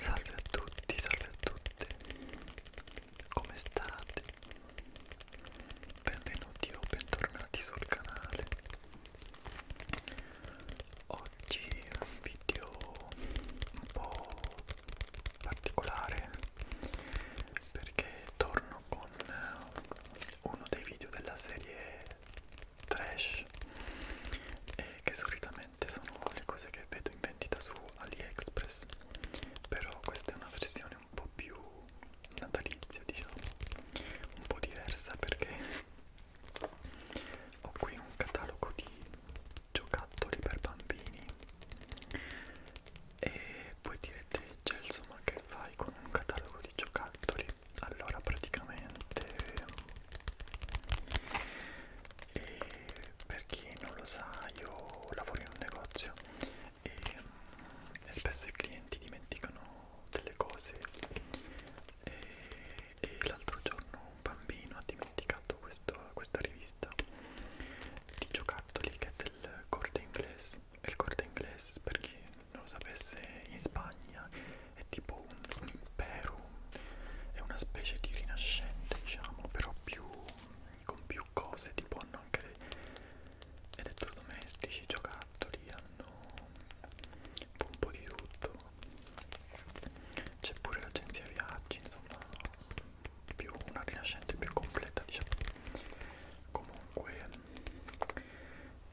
Salve a tutti, salve a tutte, come state? Benvenuti o bentornati sul canale. Oggi è un video un po' particolare perché torno con uno dei video della serie trash eh, che solitamente solitamente sono le cose che vedo in vendita su AliExpress però questa è una versione un po' più natalizia diciamo un po' diversa perché ho qui un catalogo di giocattoli per bambini e voi direte Gelso ma che fai con un catalogo di giocattoli? Allora praticamente e per chi non lo sa io lavoro in un negozio e, e spesso i clienti dimenticano delle cose e, e l'altro giorno un bambino ha dimenticato questo, questa rivista di giocattoli che è del corte inglese il corte inglese per chi non lo sapesse in Spagna è tipo un, un impero, è una specie di rinascente diciamo, però più, con più cose, tipo hanno anche elettrodomestici, giocattoli, hanno un po' di tutto, c'è pure l'agenzia viaggi, insomma più una rinascente più completa diciamo comunque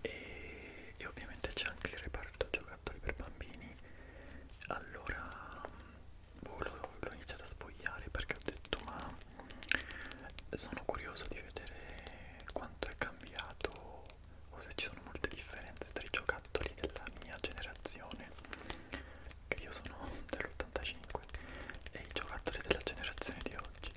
e, e ovviamente c'è anche il reparto scarto giocattoli per bambini allora boh, l'ho iniziato a sfogliare perché ho detto ma sono curioso di vedere quanto è cambiato o se ci sono molte differenze tra i giocattoli della mia generazione che io sono dell'85 e i giocattoli della generazione di oggi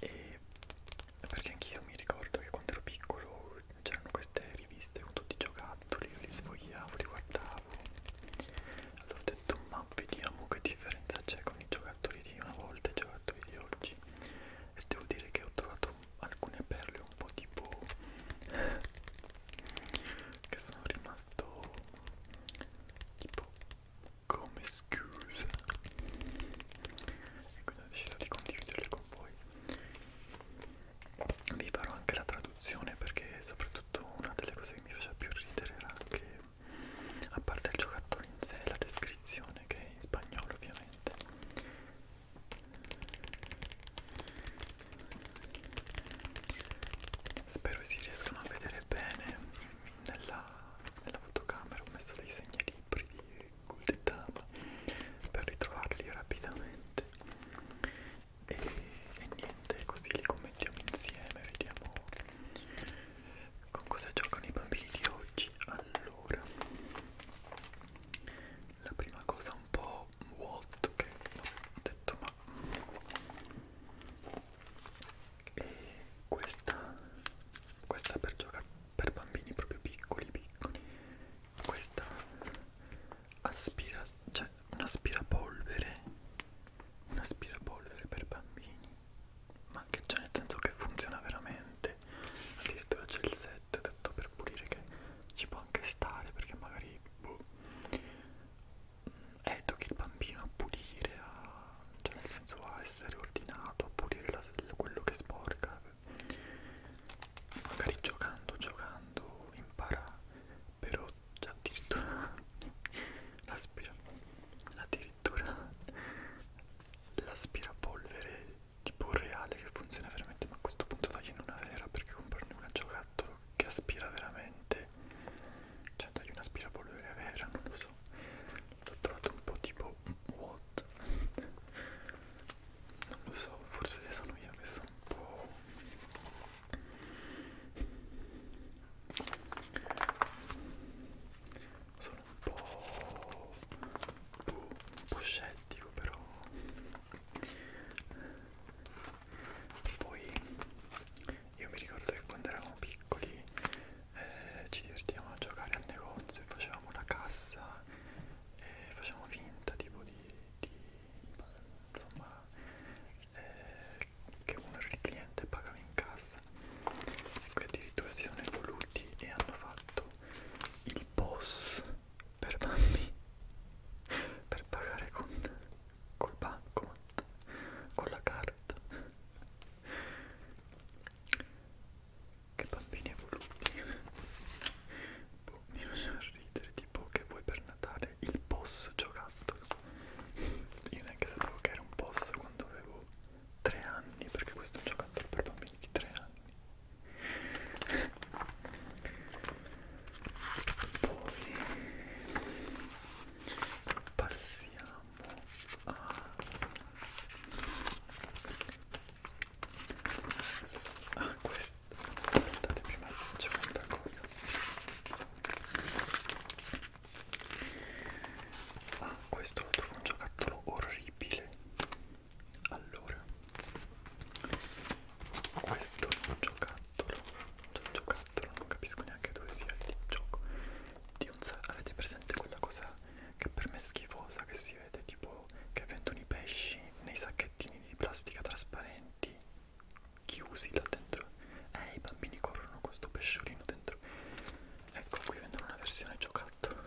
e perché anch'io mi ricordo che quando ero piccolo c'erano queste riviste con tutti i giocattoli, io li sfogliavo, li guardavo allora ho detto ma vediamo che differenza c'è con i giocattoli di una volta e i giocattoli di oggi e devo dire che ho trovato alcune perle un po' tipo che sono rimasto tipo come scusa e quindi ho deciso di condividerle con voi vi farò anche la traduzione perché soprattutto una delle cose che mi faceva più ridere era anche a parte il giocattolo in sé la descrizione che è in spagnolo ovviamente spero si riescano a vedere bene nella, nella fotocamera ho messo dei segnalibri di guidava per ritrovarli rapidamente e, e niente così li commettiamo insieme vediamo con cosa giocano i bambini di oggi allora la prima cosa un po' Walt che ho detto ma e questa questa per giocare per bambini proprio piccoli piccoli questa aspira cioè un aspirapolvere un aspirapolvere per bambini ma che c'è nel senso che funziona veramente addirittura c'è il set detto per pulire che ci può anche stare perché magari boh, mm, educhi il bambino a pulire a cioè nel senso a essere ordinato, a pulire la, quello che sporca. Magari giocando, giocando impara, però già addirittura addirittura l'aspirapolvere tipo reale che funziona veramente, ma a questo punto tagliene una vera perché comprarne una giocattolo che aspira veramente, cioè tagli un aspirapolvere vera, non lo so senso l'ho trovato un po' tipo what non lo so forse sono io che sono un po' sono un po' un po' scettico però poi io mi ricordo che quando eravamo piccoli eh, ci divertivamo a giocare al negozio e facevamo la cassa e facevamo finta tipo di, di insomma eh, che uno era il cliente pagava in cassa e ecco, qui addirittura si sono evoluti e hanno fatto il boss per bambini per pagare con col bancomat con la carta che bambini evoluti. boh, mi faceva ridere, tipo che vuoi per Natale il boss giocattolo. Io neanche sapevo che era un boss quando avevo 3 anni, perché questo è un giocattolo per bambini di 3 anni. Poi passiamo a ah, questo aspettate prima c'è un'altra cosa ah questo lo trovo un giocattolo orribile allora questo è un giocattolo cioè un giocattolo non capisco neanche dove sia il gioco di un avete presente quella cosa che per me è schifosa che si vede tipo che vendono i pesci nei sacchettini di plastica trasparenti chiusi là dentro eh i bambini corrono questo pesciolino dentro ecco qui vendono una versione giocattolo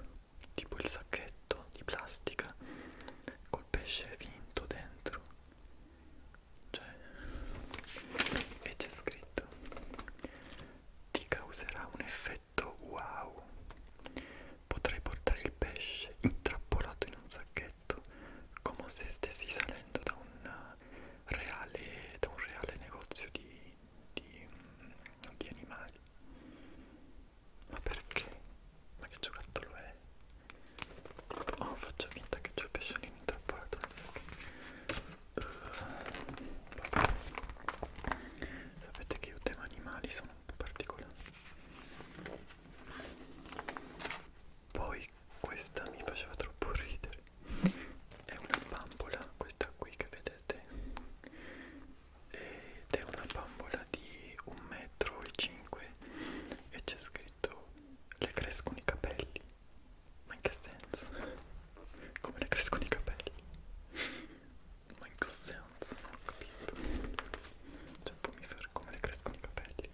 tipo il sacchetto di plastica col pesce finto dentro cioè e c'è scritto ti causerà un effetto wow. Potrai portare il pesce intrappolato in un sacchetto come se stessi salendo da un eh, reale, da un reale negozio di, di, di animali. Ma perché? Ma che giocattolo è? Oh, faccio finta che c'è il pesciolino intrappolato nel sacchetto. Vabbè. Sapete che io tema animali sono un po' particolari. Poi questa mi faceva troppo ridere. È una bambola, questa qui che vedete. Ed è una bambola di 1,5 m e c'è scritto le crescono i capelli ma in che senso? Come le crescono i capelli? Ma in che senso? Non ho capito. Cioè, poi mi fermo come le crescono i capelli.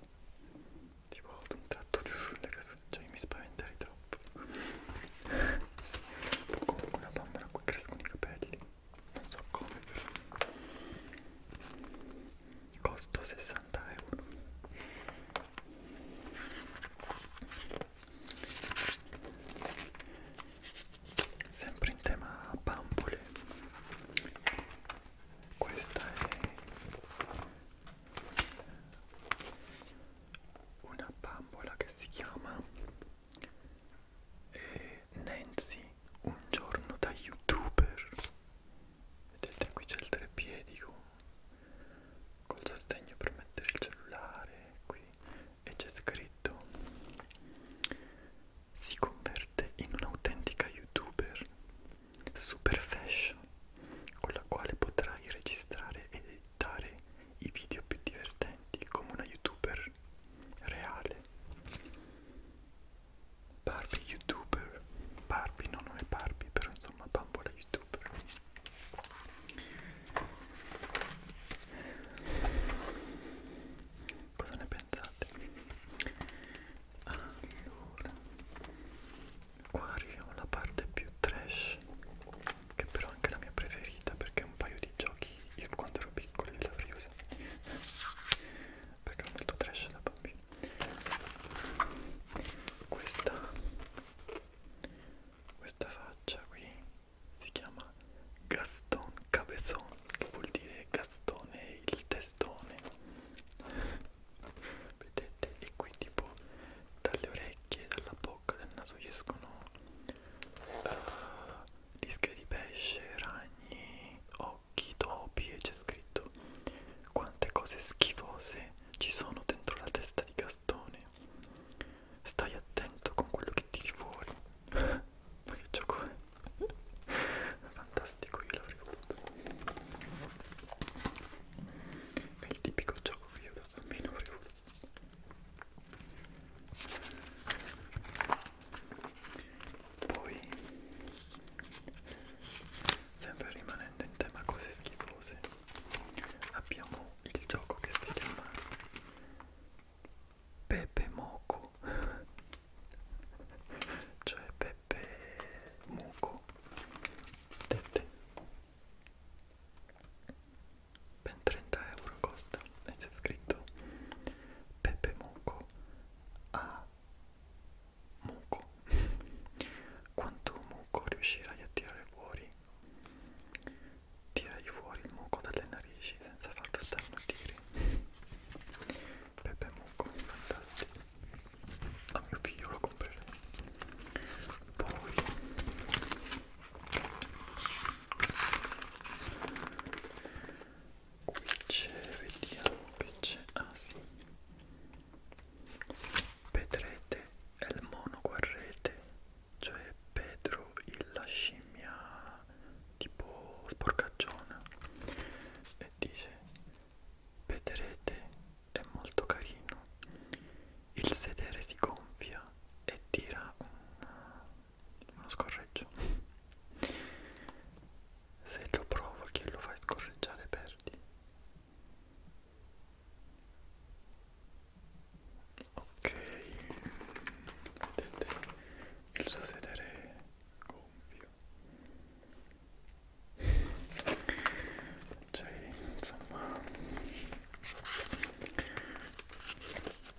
Tipo, ho un tratto giù, le crescono. Cioè, mi spaventerei troppo. o comunque una bambola a cui crescono i capelli. Non so come, però. Costo 60 euro sempre in tema pampole questa è una bambola che si chiama eh, Nancy un giorno da youtuber vedete qui c'è il treppiedi col sostegno per mettere il cellulare qui e c'è scritto si converte in un'autentica youtuber super fashion con la quale potrai registrare ed editare i video più divertenti come una youtuber reale Barbie youtuber Barbie non è Barbie però insomma bambola youtuber Cosa ne pensate? Allora, qua arriviamo alla parte più trash, che però è anche la mia preferita perché un paio di giochi io quando ero piccolo li avrei usati. Perché ero molto trash da bambino. Questa questa faccia qui si chiama Gaston Cabezon che vuol dire Gastone il testone vedete e qui tipo dalle orecchie dalla bocca dal naso gli escono uh, eh, dische di pesce ragni occhi topi e c'è scritto quante cose schifose che ci sono dentro la testa di Gastone. Stai attento con quello che tiri fuori. Ma che gioco è? Fantastico, io l'avrei voluto. È il tipico gioco che io da bambino avrei voluto. Poi, sempre rimanendo in tema cose schifose, abbiamo il gioco che si chiama Pepe Moco cioè Pepe Muco Tette ben 30 euro costa e c'è scritto Pepe Muco a muco quanto muco riuscirai a tirare fuori tirai fuori il muco dalle narici senza farlo starnutire Pepe Muco fantastico a mio figlio lo comprerò poi qui c'è vediamo che c'è ah sì Pedrete è il mono guarrete, cioè Pedro la scimmia tipo sporcacciona e dice Pedrete è molto carino, il sedere si gonfia e tira un, uno scorreggio. Se lo provo che lo fai scorreggiare perdi ok vedete il suo sedere gonfio cioè insomma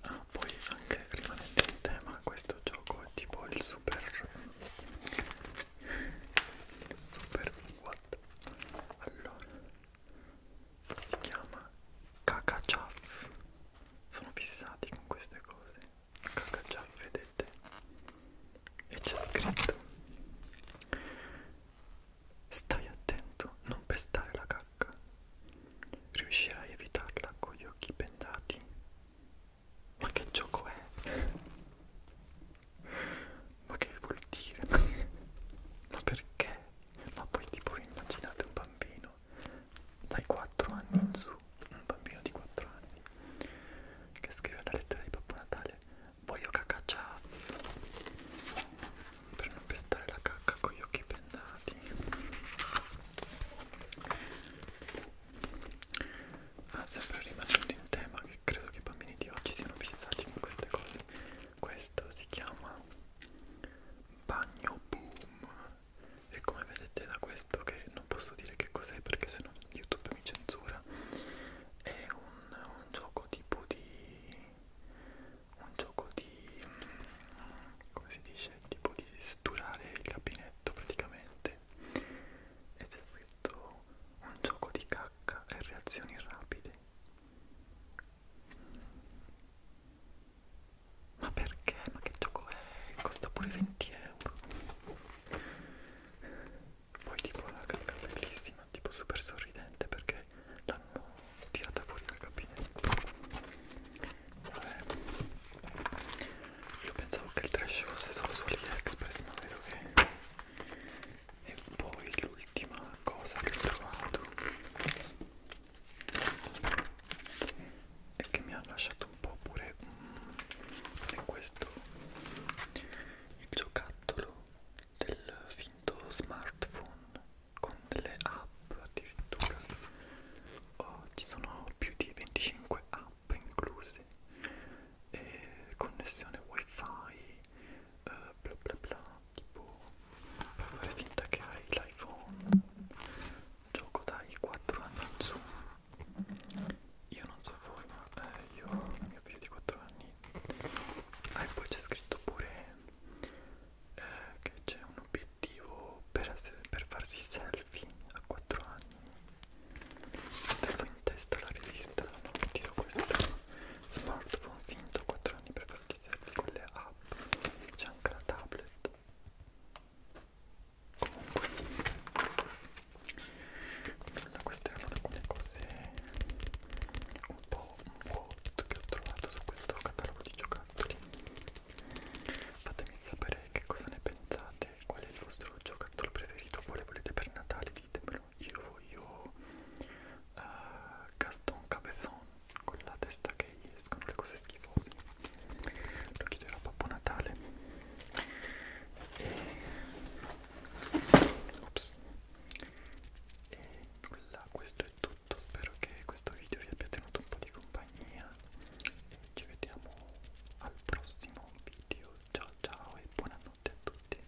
ah poi anche rimanendo in tema questo gioco è tipo il super super fatto allora si chiama cacaciaff sono fissati con queste cose cacaciaff vedete e c'è scritto stai attento non pestare la cacca riuscirai a evitarla con gli occhi pendati ma che gioco è ma che vuol dire? ma perché? ma poi tipo immaginate un bambino dai 4 anni in su un bambino di 4 anni che scrive la lettera di Babbo Natale voglio cacaccia per non pestare la cacca con gli occhi pendati Ah, sempre rimanendo in tema che credo che i bambini di oggi siano fissati con queste cose. Questo si chiama bagno boom e come vedete da questo che non posso dire che cos'è perché sennò YouTube mi censura. È un, un gioco tipo di un gioco di come si dice tipo di sturare il gabinetto praticamente e c'è detto un gioco di cacca e reazioni rapide. Ma perché? Ma che gioco è? Costa pure 20 euro. Poi tipo la cacca è bellissima, tipo super sorridente perché l'hanno tirata fuori dal gabinetto. Vabbè. Io pensavo che il trash fosse solo su AliExpress, ma vedo che e poi l'ultima cosa che ho trovato e che mi ha lasciato un po' pure mm, è questo il giocattolo del finto smartphone con delle app addirittura oh, ci sono più di 25 app app inclusi e connessione wifi eh, bla bla bla tipo per fare finta che hai l'iPhone gioco dai 4 anni in su io non so voi ma eh, io mio figlio di 4 anni ah, e poi c'è scritto pure eh, che c'è un obiettivo per, essere, per farsi selfie Alfie a 4 anni Mettevo in testa la rivista ma mi tiro questo smartphone finto a 4 anni per farti selfie con le app C'è anche la tablet Comunque nulla, queste erano alcune cose un po' hot che ho trovato su questo catalogo di giocattoli fatemi sapere che cosa ne pensate dite qual è il vostro giocattolo preferito, quale volete per Natale, ditemelo. Io voglio uh, Gaston Cabezon con la testa che gli escono le cose schifose. Lo chiederò a Babbo Natale. E... Ops. E nulla, questo è tutto. Spero che questo video vi abbia tenuto un po' di compagnia. E ci vediamo al prossimo video ciao ciao e buonanotte a tutti